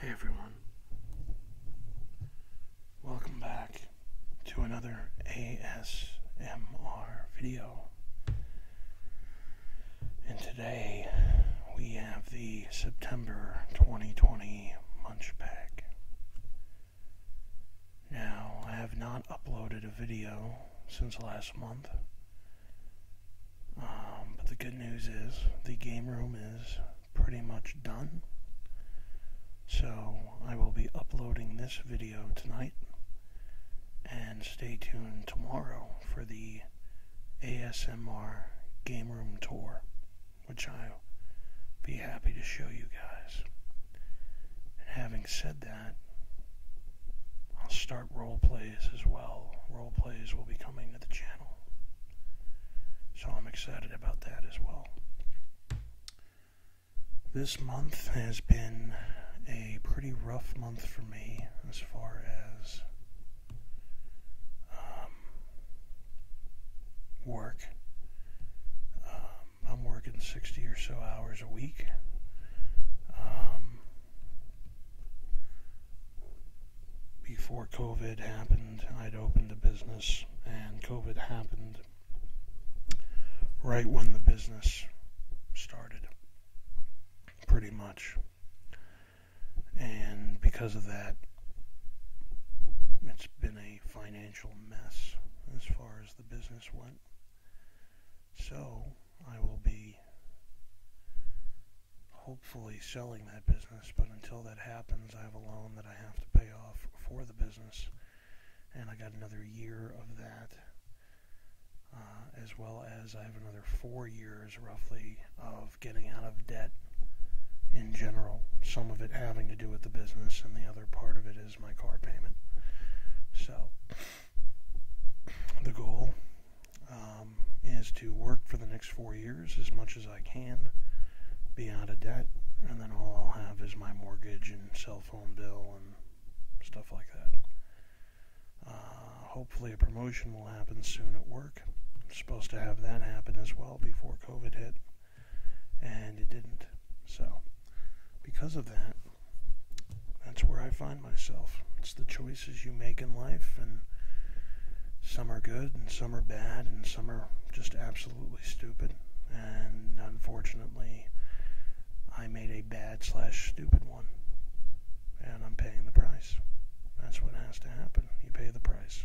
Hey everyone. Welcome back to another ASMR video. And today we have the September 2020 Munch Pack. Now, I have not uploaded a video since last month. Um, but the good news is the game room is pretty much done. So I will be uploading this video tonight and stay tuned tomorrow for the ASMR game room tour, which I'll be happy to show you guys. And having said that, I'll start role plays as well. Role plays will be coming to the channel. So I'm excited about that as well. This month has been a pretty rough month for me as far as um, work. Um, I'm working 60 or so hours a week. Um, before COVID happened, I'd opened a business, and COVID happened right when the business started, pretty much. And because of that, it's been a financial mess as far as the business went. So I will be hopefully selling that business, but until that happens, I have a loan that I have to pay off for the business, and I got another year of that, uh, as well as I have another four years roughly of getting out of debt in general, some of it having to do with the business, and the other part of it is my car payment. So, the goal um, is to work for the next four years as much as I can, be out of debt, and then all I'll have is my mortgage and cell phone bill and stuff like that. Uh, hopefully, a promotion will happen soon at work. I'm supposed to have that happen as well before COVID hit, and it didn't. So, because of that, that's where I find myself that's the choices you make in life, and some are good, and some are bad, and some are just absolutely stupid. And unfortunately, I made a bad slash stupid one, and I'm paying the price. That's what has to happen. You pay the price.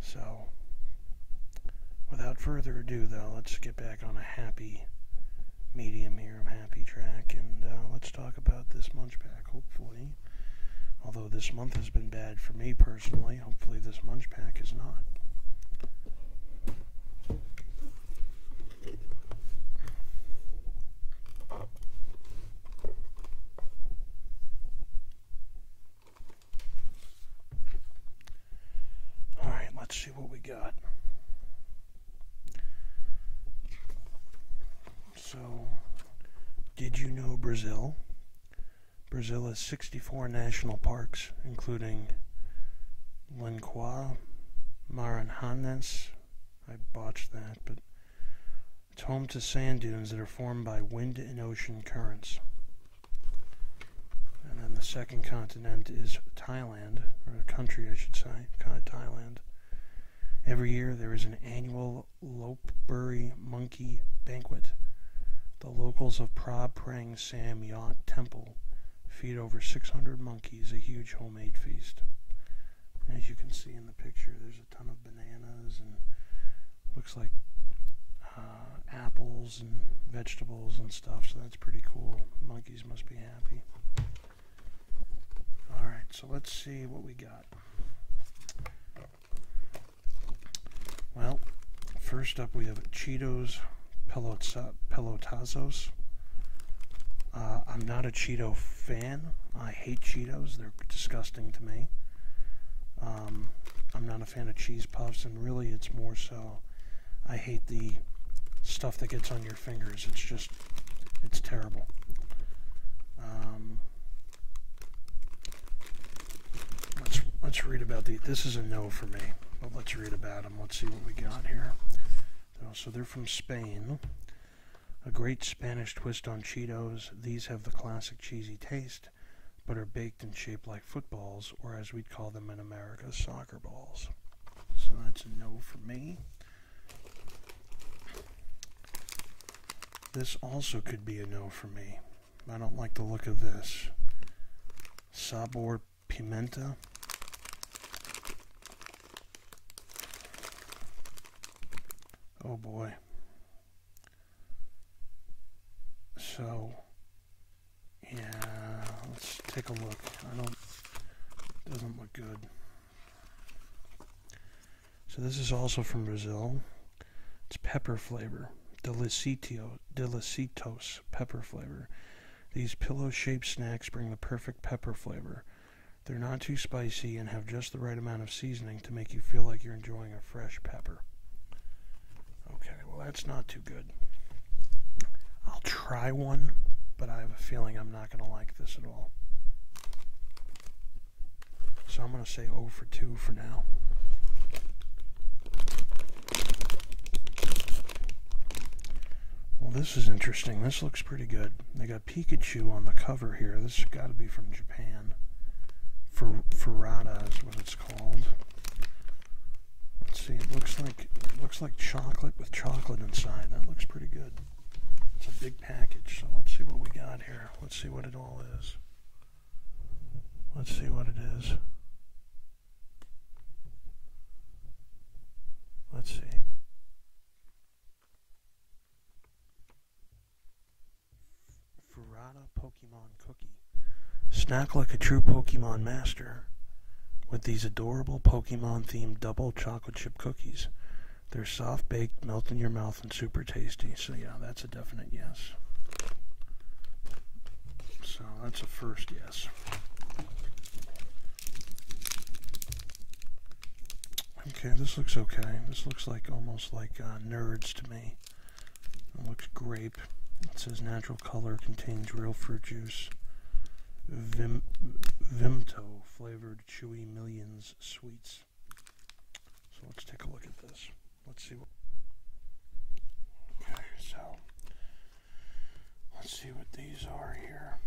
So, without further ado, though, let's get back on a happy medium here, a happy track, and uh, let's talk about this munchback. Hopefully, Although this month has been bad for me personally, hopefully this munch pack is not. All right, let's see what we got. So, did you know Brazil? Brazil has 64 national parks, including Lencoa, Maranjanes. I botched that, but it's home to sand dunes that are formed by wind and ocean currents. And then the second continent is Thailand, or country, I should say, Thailand. Every year there is an annual annual Lopebury Monkey Banquet. The locals of Prab Prang Sam Yacht Temple feed over 600 monkeys, a huge homemade feast. as you can see in the picture, there's a ton of bananas and looks like uh, apples and vegetables and stuff, so that's pretty cool. Monkeys must be happy. Alright, so let's see what we got. Well, first up we have Cheetos Pelota Pelotazos. Uh, I'm not a Cheeto fan. I hate Cheetos. They're disgusting to me. Um, I'm not a fan of cheese puffs, and really, it's more so I hate the stuff that gets on your fingers. It's just it's terrible. Um, let's, let's read about the, this is a no for me, but let's read about them. Let's see what we got here. Oh, so they're from Spain. A great Spanish twist on Cheetos. These have the classic cheesy taste, but are baked and shaped like footballs, or as we'd call them in America, soccer balls. So that's a no for me. This also could be a no for me. I don't like the look of this. Sabor Pimenta. Oh boy. So, yeah, let's take a look. I don't, doesn't look good. So this is also from Brazil. It's pepper flavor, delicito, delicitos pepper flavor. These pillow-shaped snacks bring the perfect pepper flavor. They're not too spicy and have just the right amount of seasoning to make you feel like you're enjoying a fresh pepper. Okay, well that's not too good. I'll try one, but I have a feeling I'm not going to like this at all. So I'm going to say 0 for 2 for now. Well, this is interesting. This looks pretty good. They got Pikachu on the cover here. This got to be from Japan. Fer Ferrata is what it's called. Let's see. It looks like it looks like chocolate with chocolate inside. That looks pretty good. It's a big package, so let's see what we got here. Let's see what it all is. Let's see what it is. Let's see. Ferrata Pokemon Cookie. Snack like a true Pokemon master with these adorable Pokemon themed double chocolate chip cookies. They're soft baked, melt in your mouth, and super tasty. So, yeah, that's a definite yes. So, that's a first yes. Okay, this looks okay. This looks like almost like uh, nerds to me. looks grape. It says natural color, contains real fruit juice. Vimto flavored chewy millions sweets. So let's take a look at this. Let's see what. Okay, so let's see what these are here.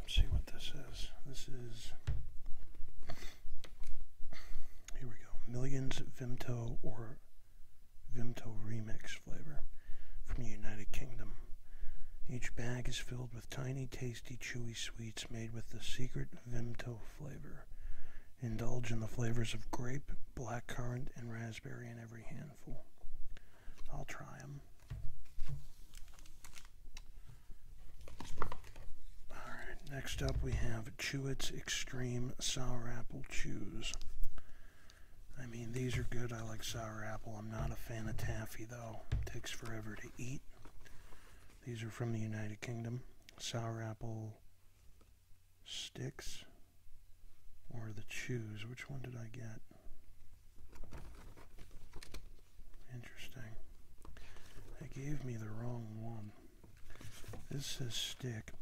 Let's see what this is. This is. Here we go. Millions Vimto or Vimto Remix flavor from the United Kingdom. Each bag is filled with tiny, tasty, chewy sweets made with the secret Vimto flavor. Indulge in the flavors of grape, black currant, and raspberry in every handful. I'll try them. Alright, next up we have Chewits Extreme Sour Apple Chews. I mean, these are good. I like sour apple. I'm not a fan of taffy, though. takes forever to eat. These are from the United Kingdom. Sour apple sticks or the chews. Which one did I get? Interesting. They gave me the wrong one. This is stick.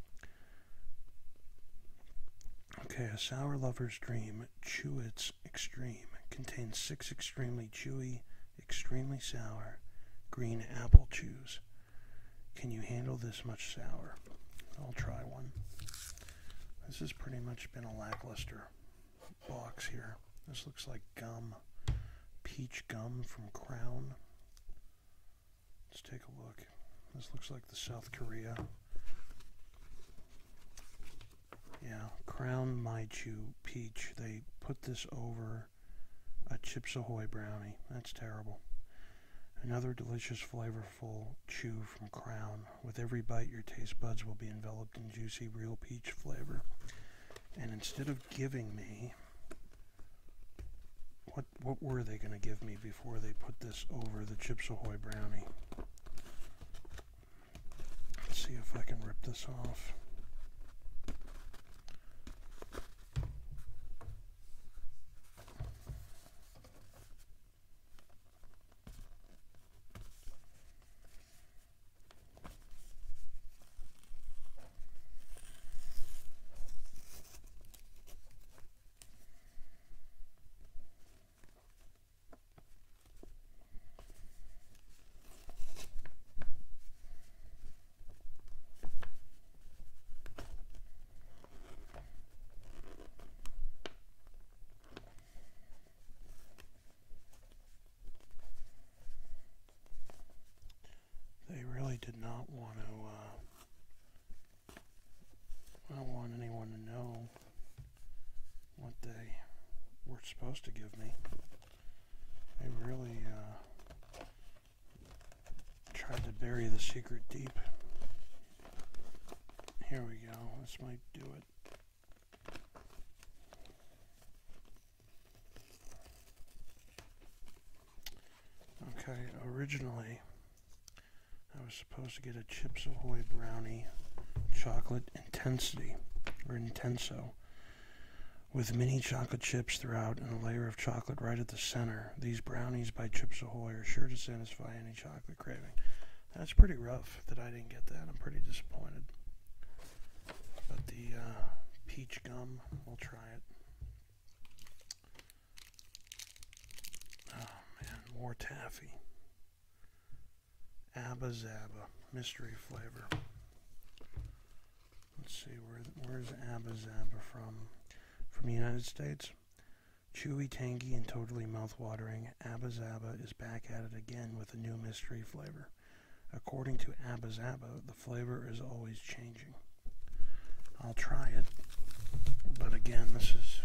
Okay, a sour lover's dream. Chew its. Extreme contains six extremely chewy, extremely sour green apple chews. Can you handle this much sour? I'll try one. This has pretty much been a lackluster box here. This looks like gum, peach gum from Crown. Let's take a look. This looks like the South Korea yeah, Crown My Chew Peach. They put this over a Chips Ahoy brownie. That's terrible. Another delicious, flavorful chew from Crown. With every bite, your taste buds will be enveloped in juicy, real peach flavor. And instead of giving me what what were they going to give me before they put this over the Chips Ahoy brownie? Let's see if I can rip this off. They really did not want uh, to, I don't want anyone to know what they were supposed to give me. They really uh, tried to bury the secret deep. Here we go. This might do it. Okay, originally I was supposed to get a Chips Ahoy brownie chocolate intensity or intenso. With mini chocolate chips throughout and a layer of chocolate right at the center, these brownies by Chips Ahoy are sure to satisfy any chocolate craving. That's pretty rough that I didn't get that. I'm pretty disappointed. But the uh, peach gum, we'll try it. Oh man, more taffy. Abba Zaba mystery flavor. Let's see where where's Abba Zaba from? From the United States. Chewy, tangy, and totally mouthwatering, Abba Zaba is back at it again with a new mystery flavor. According to Abba Zaba, the flavor is always changing. I'll try it, but again, this is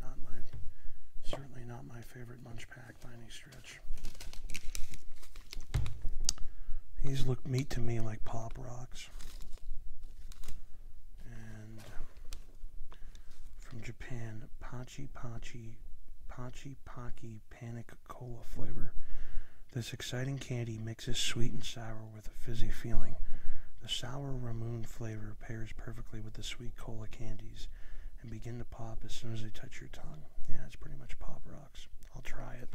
not my certainly not my favorite munch pack back stretch. These look meat to me like pop rocks. And from Japan, Pachi Pachi Pachi Paki Panic Cola flavor. This exciting candy mixes sweet and sour with a fizzy feeling. The sour Ramune flavor pairs perfectly with the sweet cola candies and begin to pop as soon as they touch your tongue. Yeah, it's pretty much pop rocks. I'll try it.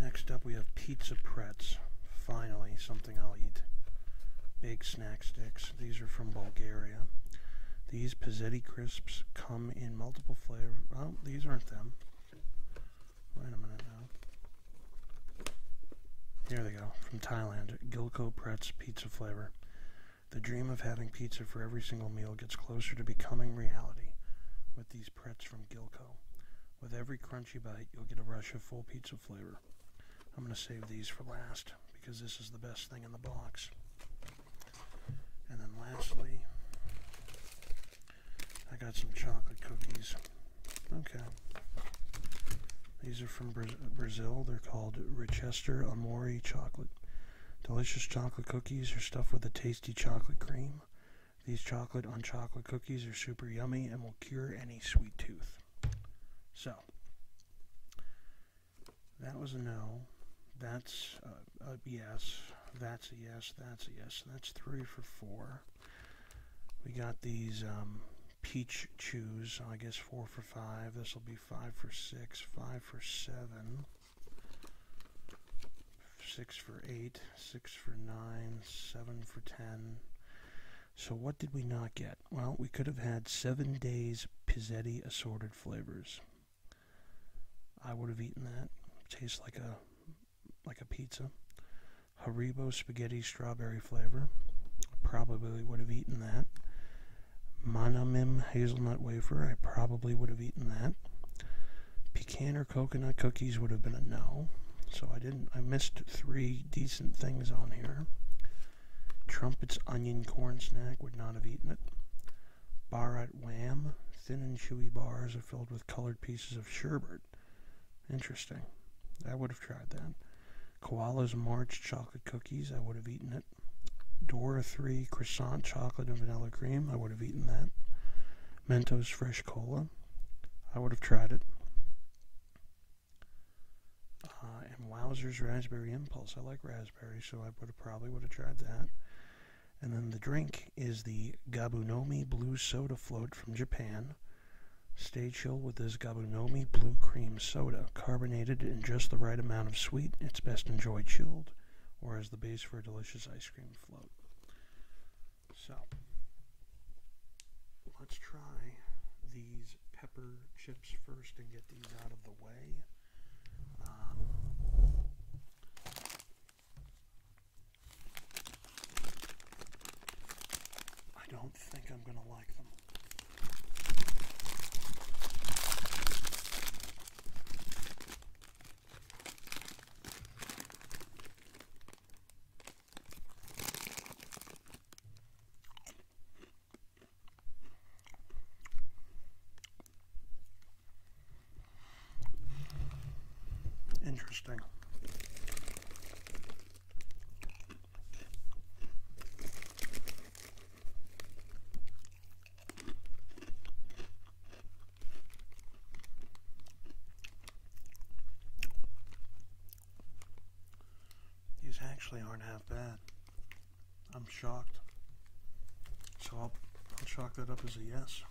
Next up, we have pizza pretz. Finally, something I'll eat. Big snack sticks. These are from Bulgaria. These pizzetti crisps come in multiple flavors. Oh, these aren't them. Wait a minute here they go, from Thailand, Gilco Pretz pizza flavor. The dream of having pizza for every single meal gets closer to becoming reality with these Pretz from Gilco. With every crunchy bite, you'll get a rush of full pizza flavor. I'm going to save these for last because this is the best thing in the box. And then lastly, I got some chocolate cookies Okay. These are from Brazil. They're called Rochester Amori chocolate. Delicious chocolate cookies are stuffed with a tasty chocolate cream. These chocolate on chocolate cookies are super yummy and will cure any sweet tooth. So, that was a no. That's a, yes. That's a yes. That's a yes. That's three for four. We got these um, Peach Chews, I guess four for five. This will be five for six, five for seven, six for eight, six for nine, seven for ten. So what did we not get? Well, we could have had seven days Pizzetti assorted flavors. I would have eaten that. Tastes like a like a pizza. Haribo spaghetti strawberry flavor. Probably would have eaten that. Monomim hazelnut wafer. I probably would have eaten that. Pecan or coconut cookies would have been a no. So I didn't. I missed three decent things on here. Trumpets onion corn snack would not have eaten it. Barat wham. Thin and chewy bars are filled with colored pieces of sherbet. Interesting. I would have tried that. Koala's March chocolate cookies. I would have eaten it. Dora 3 croissant chocolate and vanilla cream. I would have eaten that. Mentos fresh cola. I would have tried it. Uh, and Wowzer's raspberry impulse. I like raspberries, so I would probably would have tried that. And then the drink is the Gabunomi Blue Soda Float from Japan. Stay chill with this Gabunomi Blue Cream Soda, carbonated in just the right amount of sweet. It's best enjoyed chilled or as the base for a delicious ice cream float. So, let's try these pepper chips first and get these out of the way. Um, I don't think I'm going to like them. Interesting. These actually aren't half bad. I'm shocked. So I'll, chalk that up as a yes.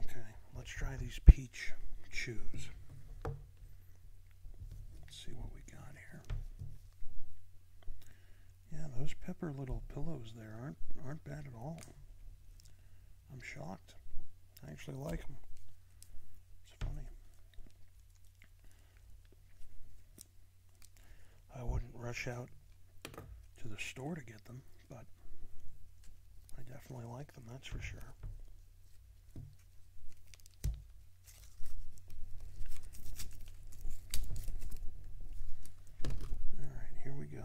Okay, let's try these peach chews. Let's see what we got here. Yeah, those pepper little pillows there aren't aren't bad at all. I'm shocked. I actually like them. It's funny. I wouldn't rush out to the store to get them. But I definitely like them, that's for sure. All right, here we go.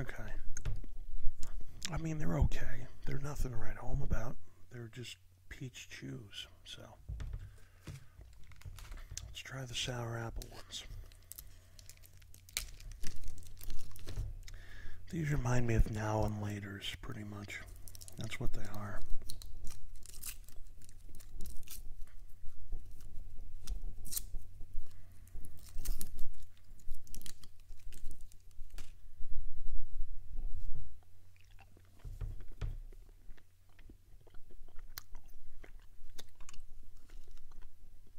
Okay. I mean, they're okay. They're nothing to write home about. They're just peach chews. So let's try the sour apple ones. These remind me of now and laters, pretty much. That's what they are.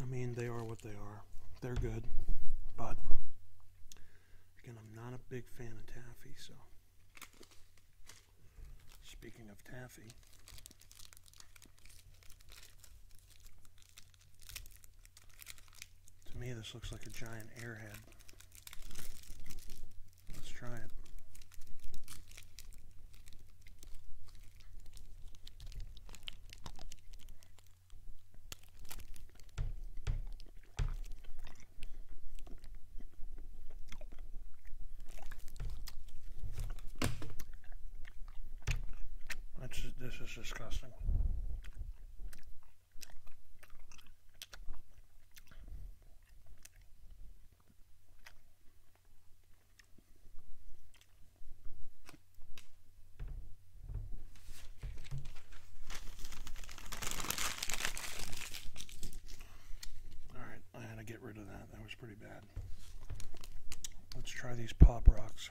I mean, they are what they are. They're good, but again, I'm not a big fan of taffy. So, speaking of taffy. To me, this looks like a giant airhead. Let's try it. this is disgusting. All right, I had to get rid of that. That was pretty bad. Let's try these pop rocks.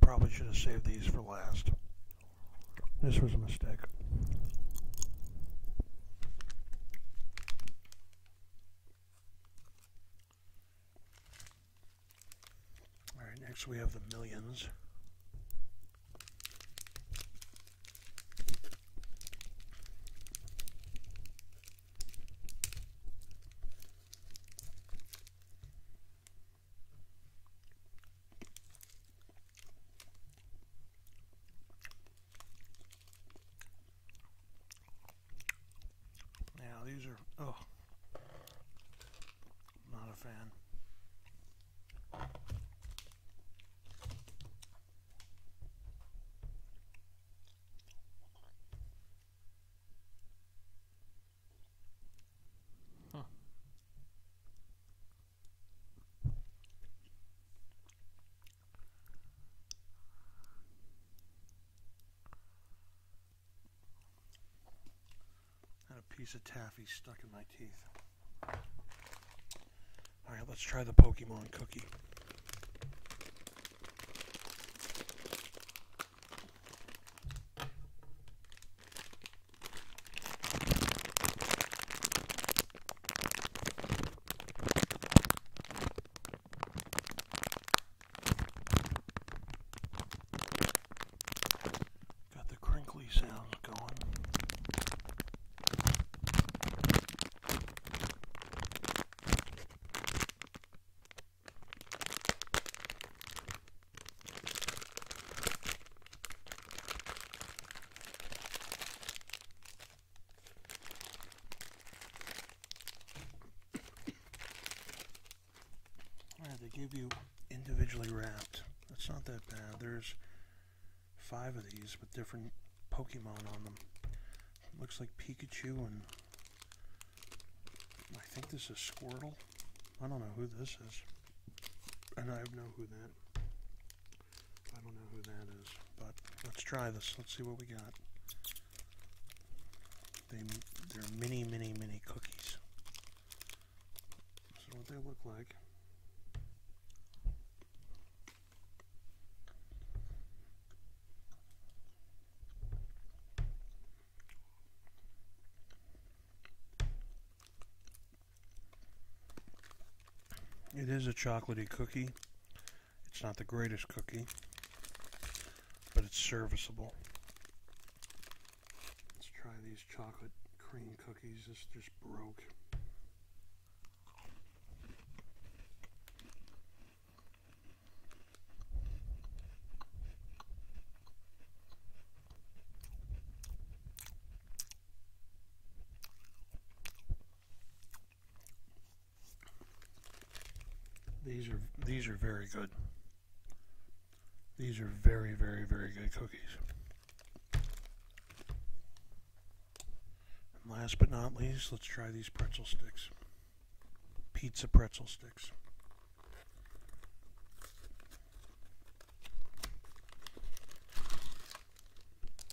Probably should have saved these for last. This was a mistake. All right, next we have the millions. Yeah, these are, oh, not a fan. Had a piece of taffy stuck in my teeth. All right, let's try the Pokemon cookie. Got the crinkly sounds going they give you individually wrapped. That's not that bad. There's five of these with different Pokemon on them. Looks like Pikachu and I think this is Squirtle. I don't know who this is. And I have no who that. I don't know who that is. But let's try this. Let's see what we got. They, they're many, many, many cookies. So what they look like. It is a chocolatey cookie. It's not the greatest cookie, but it's serviceable. Let's try these chocolate cream cookies. This just broke. These are these are very good. These are very, very, very good cookies. last but not least, let's try these pretzel sticks. Pizza pretzel sticks.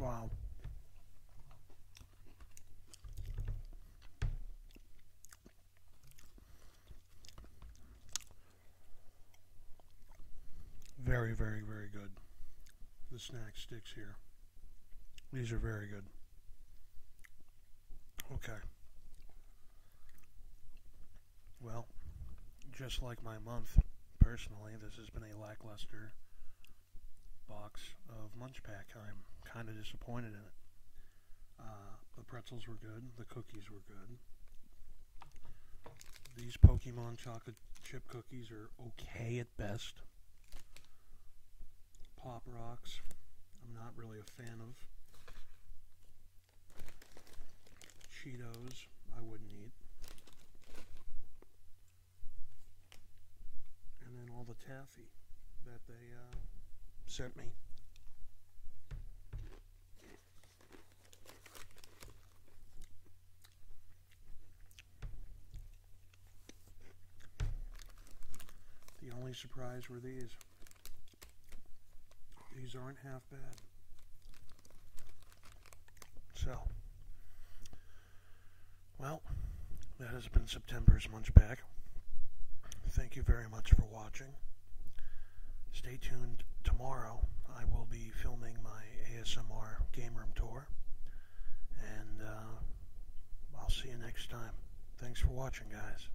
Wow. Very, very, very good. The snack sticks here. These are very good. Okay. Well, just like my month, personally, this has been a lackluster box of Munch I'm kind of disappointed in it. Uh, the pretzels were good, the cookies were good. These Pokemon chocolate chip cookies are okay at best. Pop Rocks, I'm not really a fan of. Cheetos, I wouldn't eat. And then all the taffy that they uh, sent me. The only surprise were these. These aren't half so, well, that has been September's Munchbag. Thank you very much for watching. Stay tuned tomorrow. I will be filming my ASMR game room tour. And uh, I'll see you next time. Thanks for watching, guys.